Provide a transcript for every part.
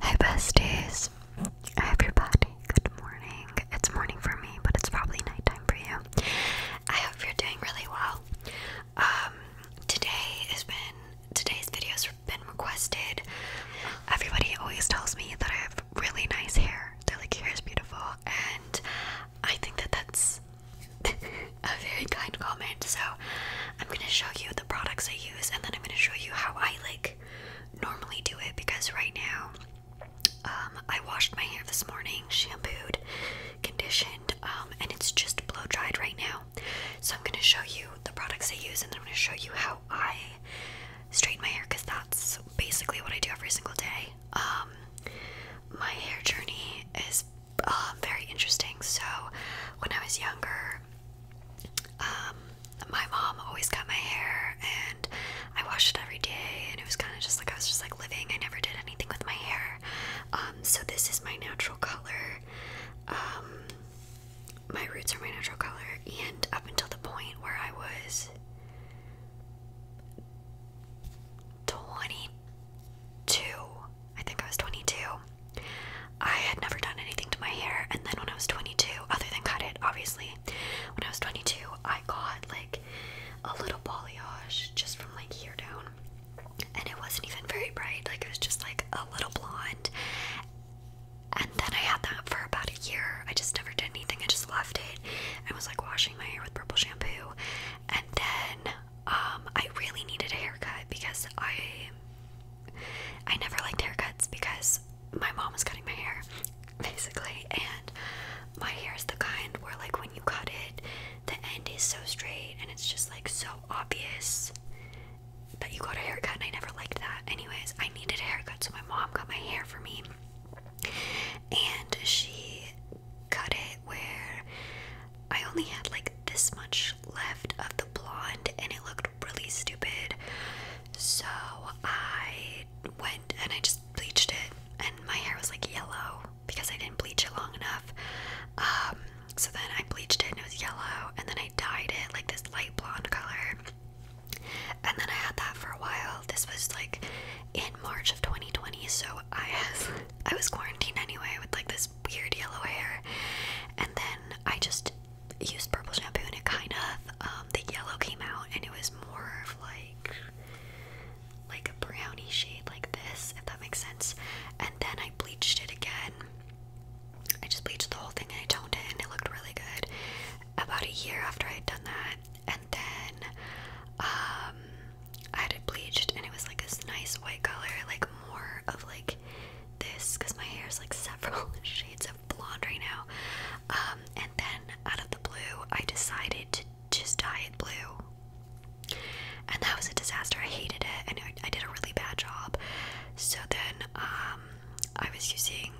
Hi besties. Hi everybody. Good morning. It's morning for me, but it's probably night time for you. I hope you're doing really well. Um today has been today's videos have been requested. Everybody always tells me that I have really nice hair. They're like hair is beautiful and I think that that's a very kind comment. So I'm gonna show you the products I use, and then I'm gonna show you how I like normally do it because right now, um, I washed my hair this morning, shampooed, conditioned, um, and it's just blow dried right now. So I'm gonna show you the products I use, and then I'm gonna show you how I straighten my hair because that's basically what I do every single day um, my hair journey is uh, very interesting. So, when I was younger, um, my mom always cut my hair and I washed it every day, and it was kind of just like I was just like living. I never did anything with my hair. Um, so, this is my natural color. Um, my roots are my natural color, and up until the point where I was 22. I think I was 22. I had never done anything to my hair, and then when I was 22, other than cut it, obviously, when I was 22, I got like a little balayage just from like here down, and it wasn't even very bright, like it was just like a little blonde. And then I had that for about a year. I just never did anything, I just left it. I was like washing my hair with purple shampoo, and then um I really needed a haircut because I I never liked haircuts because my mom was cutting my hair basically and my hair is the kind where like when you cut it the end is so straight and it's just like so obvious that you got a haircut and I never liked that. Anyways, I needed a haircut so my mom got my hair for me. And she cut it where I only had like this much left of the blonde and it looked really stupid. So I went and I just bleached it and my hair was like yellow because I didn't bleach it long enough. Um, so then I bleached it and it was yellow and then I dyed it like this light blonde color. And then I had that for a while this was like in March of 2020, so I has I was quarantined anyway with like this weird yellow hair, and then I just used purple shampoo and it kind of um, the yellow came out and it was more of like like a brownie shade like this, if that makes sense. And then I bleached it again. I just bleached the whole thing and I toned it and it looked really good. About a year after I had done that, then um, I had it bleached and it was like this nice white color, like more of like this because my hair is like several shades of blonde right now. Um, and then out of the blue, I decided to just dye it blue, and that was a disaster. I hated it, and I, did a really bad job. So then, um, I was using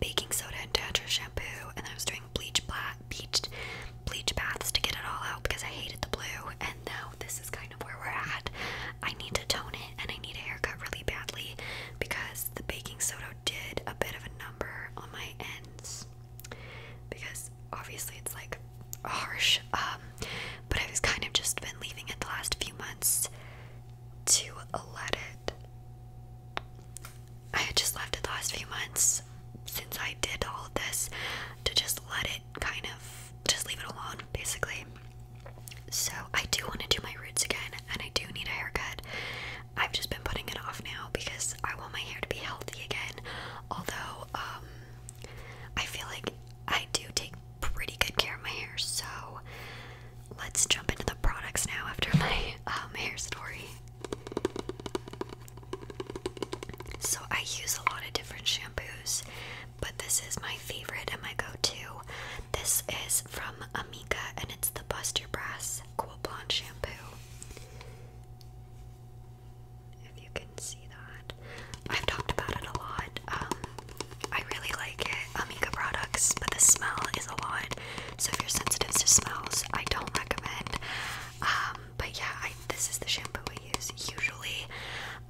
baking soda and Tetra shampoo, and I was doing bleach black bleached bleach baths to get it all out because I hated the blue and now this is kind of where we're at. I need to tone it and I need a haircut really badly because the baking soda did a bit of a number on my ends because obviously it's like harsh um, but I've kind of just been leaving it the last few months to let it I just left it the last few months since I did all of this to just let it kind of just leave it alone, basically. So I do want to do my roots again, and I do need a haircut. I've just been putting it off now because I want my hair to be healthy again. Although, um, I feel like I do take pretty good care of my hair, so let's jump into the products now after my um, hair story. So I use a lot of different shampoos, but this is my favorite and my go-to. This is from Amika and it's the Bust Your Brass Cool Blonde Shampoo. If you can see that. I've talked about it a lot. Um, I really like Amika products, but the smell is a lot. So if you're sensitive to smells, I don't recommend. Um, but yeah, this is the shampoo I use usually.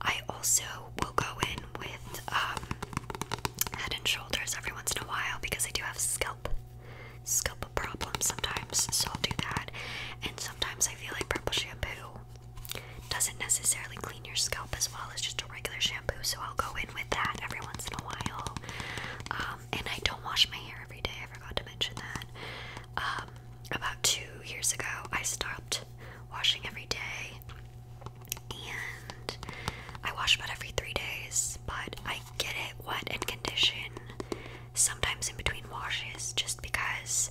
I also will go in with um, Head and Shoulders every once in a while because I do have scalp scalp problems sometimes, so I'll do that. And sometimes I feel like purple shampoo doesn't necessarily clean your scalp as well as just a regular shampoo, so I'll go in with that every once in a while. Um, and I don't wash my hair every day. I forgot to mention that. Um, about two years ago, I stopped washing every day, and I wash about every three days. But I get it wet and condition sometimes in between washes, just because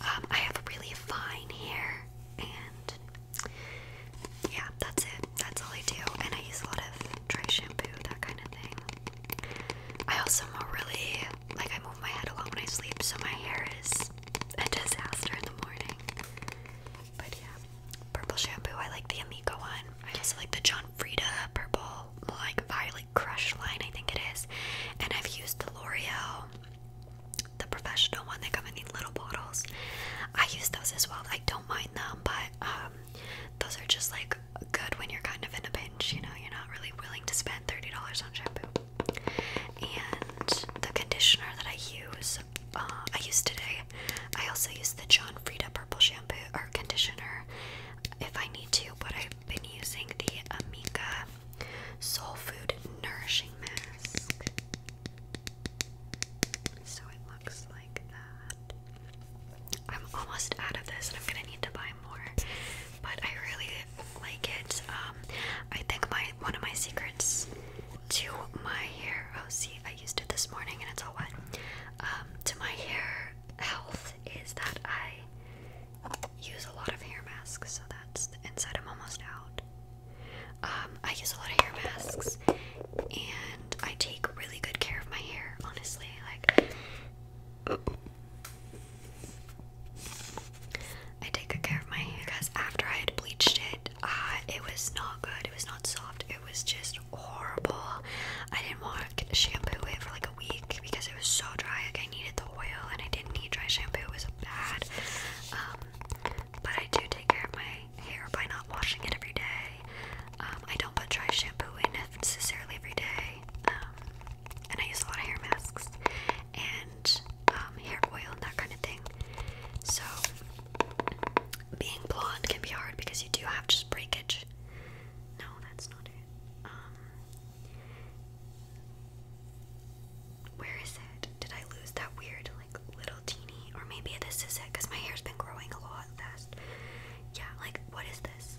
um, I have really fine hair, and yeah, that's it. That's all I do. And I use a lot of dry shampoo, that kind of thing. I also really like I move my head a lot when I sleep, so my hair is a disaster in the morning. But yeah, purple shampoo. I like the Amico one. I also like the John Frieda purple, like violet crush line. I think it is. And I've used the L'Oreal, the professional one. They come in these little bottles. I use those as well. I don't mind them, but um, those are just like good when you're kind of in a pinch, you know, you're not really willing to spend $30 on shampoo. And the conditioner that I use, uh, I use today, I also use the John Frieda Purple Shampoo or Conditioner if I need to, but I've been using the Amika Soul Food Nourishing Mask. So I looks like that. I'm almost out of this and I'm gonna need to buy more, but I really like it. Um, I think my one of my secrets to my hair. Oh, see, I used it this morning and it's all wet. Um, to my hair health is that I use a lot of hair masks, so that's the inside. I'm almost out. Um, I use a lot of hair masks and I take really good care of my hair, honestly. Like, I take good care of my hair because after I had bleached it, ah, it was not good. It was not soft. It was just horrible. I didn't want shampoo it for like a week because it was so dry. Like, I needed the oil and I didn't need dry shampoo. It was bad. Um, but I do take care of my hair by not washing it every day. Um, I don't put dry shampoo in necessarily every day, um, and I use a lot of hair masks and um, hair oil and that kind of thing. So, being blonde can be hard because you do have just breakage. No, that's not it. where is it? Did I lose that weird like little teeny, or maybe this is it because my hair's been growing a lot fast. Yeah, like what is this?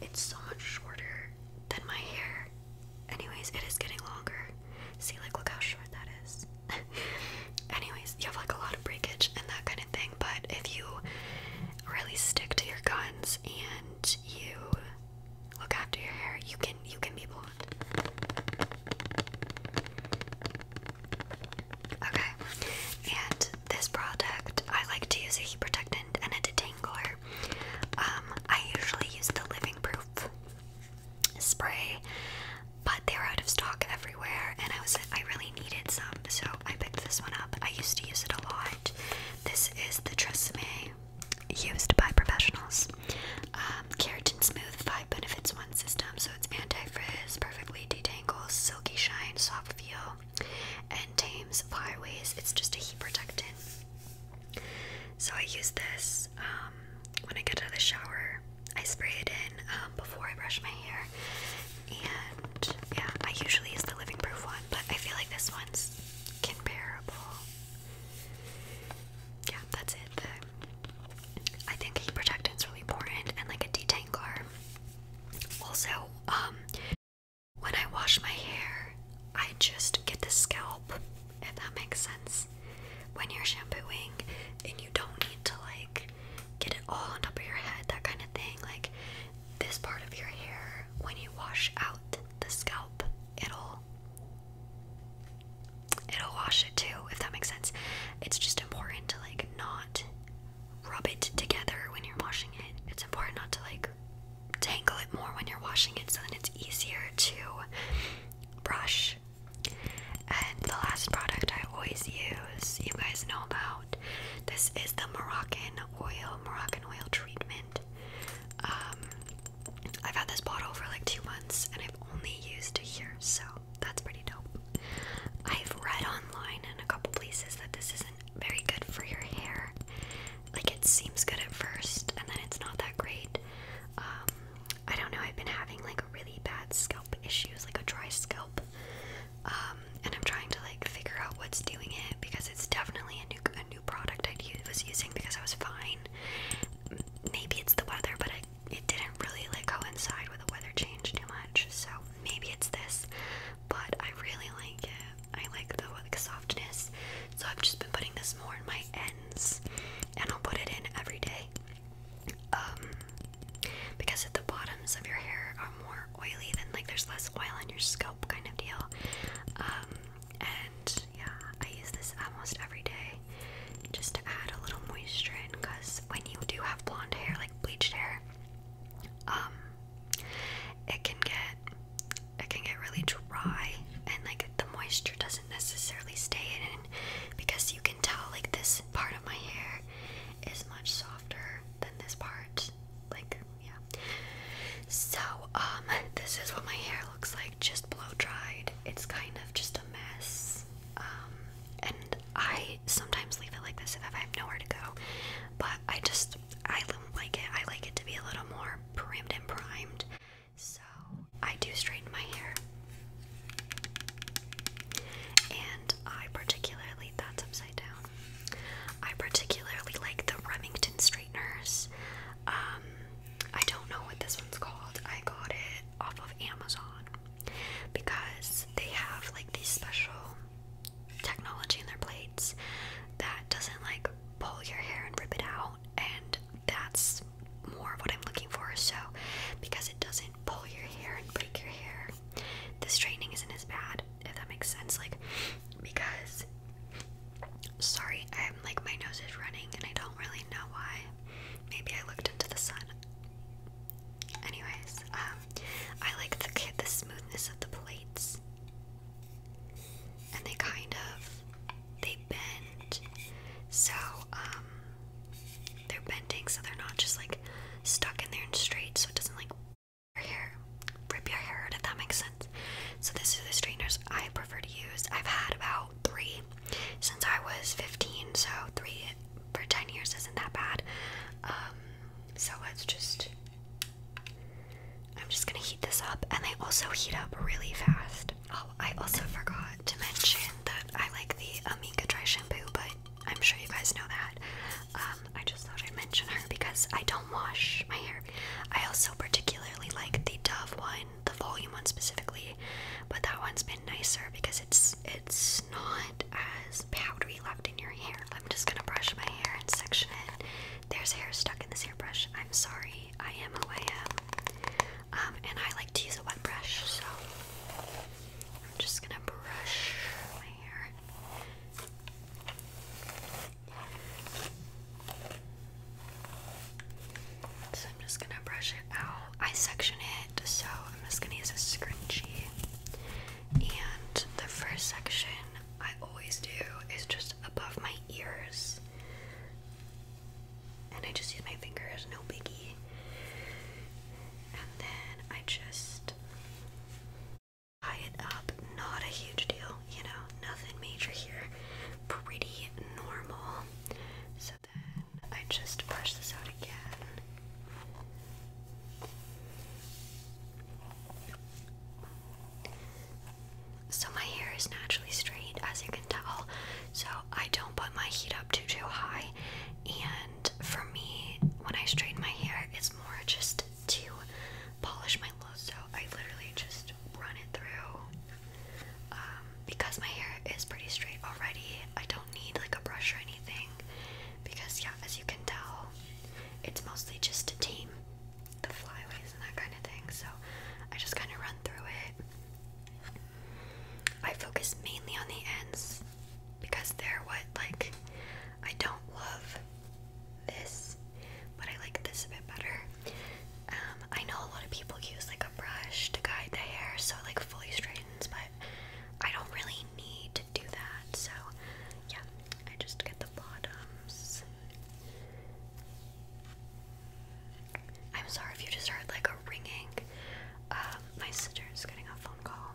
It's so much shorter than my hair. Anyways, it is getting longer. See, like, look how short that is. Anyways, you have like a lot of breakage and that kind of thing, but if you really stick to your guns and you look after your hair, you can you can be blonde. Okay, and this product I like to use a heat protectant and a detangler. Um, I usually use the Living Proof spray, but they are out of stock everywhere, and I was I really needed some, so I picked this one up. I used to use it a lot. This is the Tresemme used by professionals um, keratin smooth five benefits one system, so it's anti-frizz, perfectly detangles, silky shine, soft feel, and tames flyaways. It's just a heat protectant. So I use this um, when I get out of the shower. I spray it in um, before I brush my hair, and yeah, I usually use the Living Proof one, but I feel like this one's comparable. Yeah, that's it. I think a heat is really important and like a detangler. Also, um when I wash my hair, I just get the scalp, if that makes sense. When you're shampooing and you don't need to like get it all on top of your head, that kind of thing. Like this part of your hair, when you wash out the scalp, it'll it'll wash it too, if that makes sense. It's just important to like not rub it together when you're washing it. It's important not to like tangle it more when you're washing it so then it's easier to brush. And the last product I always use, you guys know about. This is the Moroccan oil, Moroccan oil treatment. Um, I've had this bottle for like two months and I've only used a year, so that's pretty dope. I've read online in a couple places that this isn't very good for your hair. Like it seems good at first, and then it's not that great. Um, I don't know. I've been having like really bad scalp issues, like a dry scalp, um, and I'm trying to like figure out what's doing it because it's definitely a new a new product I was using because I was fine. Maybe it's the weather, but I it didn't really like coincide with the weather change too much. So maybe it's this, but I really like it. I like the like, softness. So I've just been putting this more in my ends, and I'll put it in every day. Um, because at the bottoms of your hair are more oily, than like there's less oil on your scalp, kind of deal. Um, and yeah, I use this almost every day. Just to add a little moisture in because when you do have blonde hair, like bleached hair, um it can get it can get really dry and like the moisture doesn't necessarily stay in because you can tell like this part of my hair is much softer than this part. Like yeah. So um this is what my hair looks like just blow dried. It's kind of just a mess. Um, and I sometimes leave it like this if I have nowhere to go, but I just I do like it. I like it to be a little more primmed and primed, so I do straighten my hair. And I particularly that's upside down. I particularly like the Remington straighteners. Um, I don't know what this one's called. I got it off of Amazon because they have like these special technology in their plates that doesn't like pull your hair and rip it out and that's more of what I'm looking for so because it doesn't pull your hair and break your hair the straightening isn't as bad if that makes sense like because sorry I'm like my nose is running and I don't really know why Maybe I looked into the sun. Anyways, um, I like the the smoothness of the plates, and they kind of they bend, so um, they're bending, so they're not just like stuck in there and straight, so it doesn't like your hair, rip your hair out. If that makes sense. So this is the straighteners I prefer to use. I've had about three since I was 15, so three for 10 years isn't that bad. Um, so it's just, I'm just gonna heat this up, and they also heat up really fast. Oh, I also forgot to mention that I like the Amika Dry Shampoo, but I'm sure you guys know that. Um, I just thought I'd mention her because I don't wash my hair. I also particularly like the Dove one the volume one specifically, but that one's been nicer because it's it's not as powdery left in your hair. I'm just gonna brush my hair and section it. There's hair stuck in this hairbrush. I'm sorry. I am who I am. Um, and I like to use a wet brush, so I'm just gonna brush my hair. So I'm just gonna brush it out. I section it, so I'm just gonna use a scrunchie. And the first section I always do is just above my ears. And I just use my fingers, no biggie. And then I just tie it up. Not a huge deal, you know, nothing major here. Pretty normal. So then I just brush this out again. So my hair is naturally straight, as you can tell. So I don't put my heat up too too high. And for me, when I straighten my hair, it's more just to polish my look. So I literally just run it through. Um, because my hair is pretty straight already, I don't need like a brush or anything. Because, yeah, as you can tell, it's mostly just a team, the flyaways and that kind of thing. So I just kind of run through it. I focus mainly on the ends because they're what, like, I don't love this, but I like this a bit better. Um, I know a lot of people use like a brush to guide the hair so like fully straightens, but I don't really need to do that. So yeah, I just get the bottoms. I'm sorry if you just heard like a ringing. Um, my sister's getting a phone call.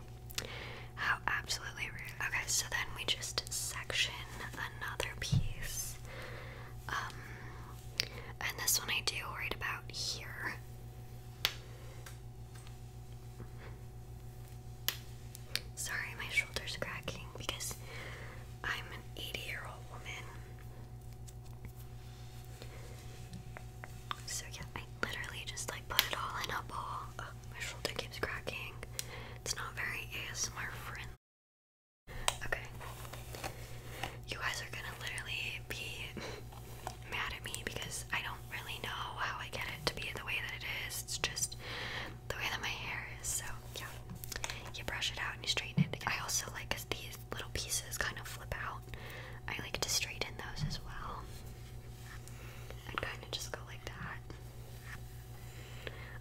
How absolutely rude. Okay, so then we just section another piece. Um, and this one I do right about here. Sorry, my shoulder's cracking because I'm an 80 year old woman. So, yeah, I literally just like put it all in a ball. my shoulder keeps cracking. It's not very ASMR friendly. Okay. You guys are gonna literally be mad at me because I don't really know how I get it to be the way that it is. It's just the way that my hair is. So, yeah. You brush it out and you straighten it. I also like because these little pieces kind of flip out. I like to straighten those as well. And kind of just go like that.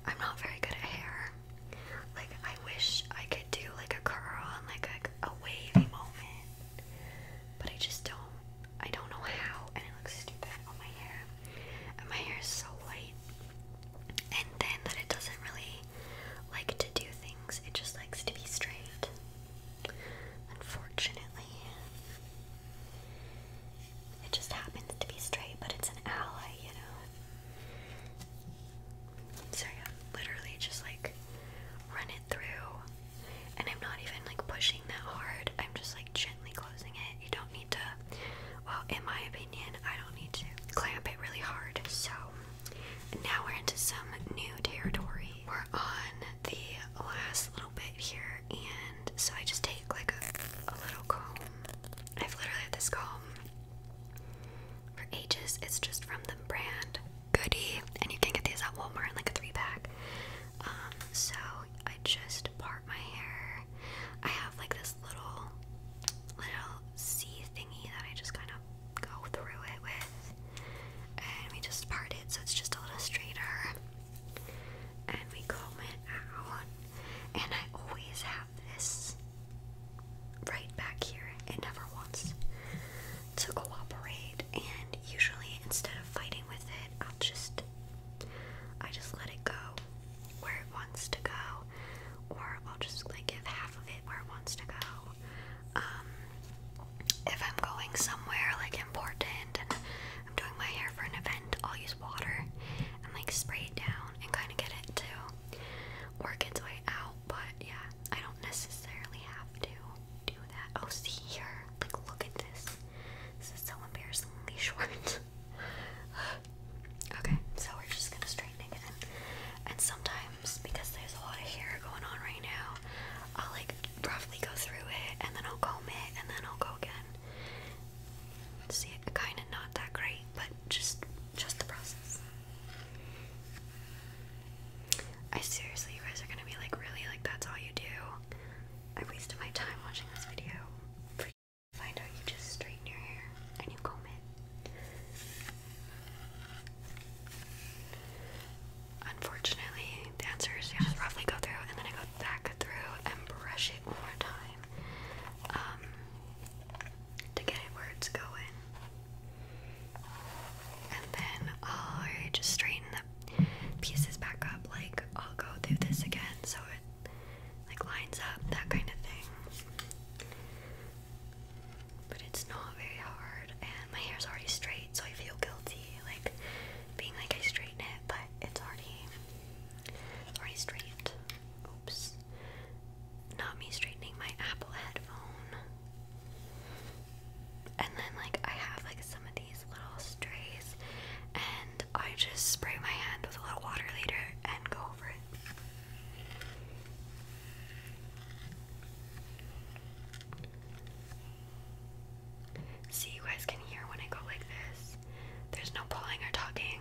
I'm not very good at hair. Like I wish I could do like a curl and like a, wavy moment, but I just don't. I don't know how, and it looks stupid on my hair. And my hair is so light, and then that it doesn't really like to do things. It just likes to be straight. Unfortunately. It just happens to be straight, but it's an ally, you know. So yeah, literally just like run it through. And I'm not even like pushing that hard. I'm just like gently closing it. You don't need to, well, in my opinion, I don't need to clamp it really hard. So now we're into some new territory. We're on the last little bit here. And so I just take like a, little comb. I've literally had this comb for ages. It's just from the brand Goody, and you can get these at Walmart in like a three pack. Um, so I just part my hair. I have like this little little C thingy that I just kind of go through it with, and we just part it so it's just a little straighter. And we comb it out, and I always have this right back here. It never wants to cooperate, and usually instead of fighting with it, I'll just I just let it go where it wants to go, or I'll just like give half of it where it wants to go. Um, if I'm going somewhere like important and I'm doing my hair for an event, I'll use water and like spray it down and kind of get it too work its way out, but yeah, I don't necessarily have to do that. Oh, see here, like, look at this. This is so embarrassingly short. okay, so we're just gonna straighten it again. And sometimes, because there's a lot of hair going on right now, I'll like roughly go through it and then I'll comb it and then I'll go again. See, it kind and not that great, but just just the process. I seriously, you guys are gonna be like, really? Like, that's all you do? I wasted my time watching this video. find out you just straighten your hair and you comb it. Unfortunately, the answer just roughly go through and then I go back through and brush it one more time. Um, to get words going. And then I'll just straighten the pieces back up. Like I'll go through this again so it like lines up, that kind of thing. But it's not very hard and my hair's already straight, so I feel guilty like being like I straighten it, but it's already already straight. Oops not me straightening my Apple headphone. And then, like, I have like some of these little strays, and I just spray my hand with a little water later and go over it. See, you guys can hear when I go like this. There's no pulling or talking,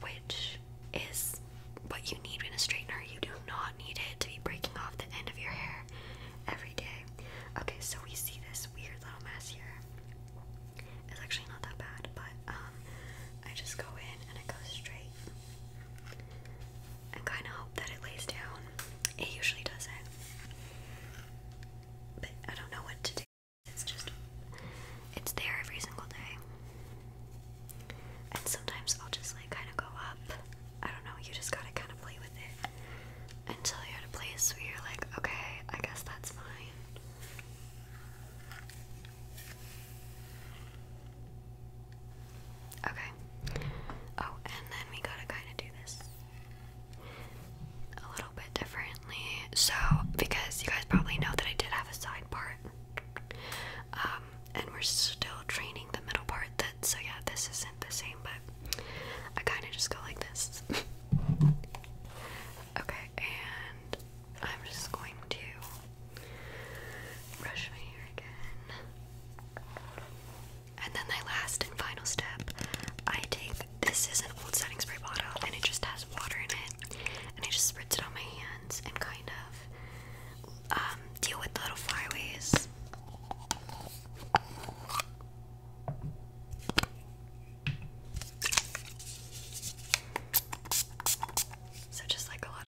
which brush is what you need in a straightener. You do not need it to be breaking off the end of your hair every day. Okay, so we see this weird little mess here. It's actually not that bad, but um, I just go in and I go straight and kind of hope that it lays down. It usually doesn't, but I don't know what to do. It's just, it's there every single day. And sometimes I'll just like kind of go up. I don't know, you just gotta kind of play with it until you're at a place where you're like, okay, I guess that's fine. Okay. Oh, and then we gotta kind of do this a little bit different. So, because you guys probably know that I did have a side part, um, and we're still training the middle part. That so yeah, this isn't the same, but I kind of just go like this. okay, and I'm just going to brush my hair again. And then my last and final step, I take this is an old setting spray bottle and it just has water in it and I just spread it on my hands and kind of um, deal with the little flyaways. So just like a lot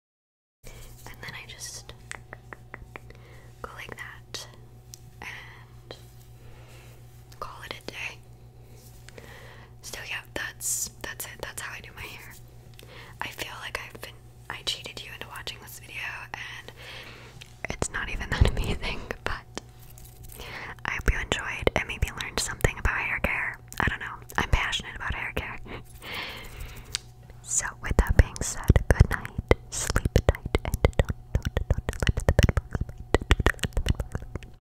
and then I just go like that and call it a day. So yeah, that's that's it. That's how I do my hair. I feel like I've been I cheated you into watching this video and it's not even that amazing, but I hope you enjoyed and maybe learned something about hair care. I don't know. I'm passionate about hair care. so with that being said, good night, sleep tight, and don't don't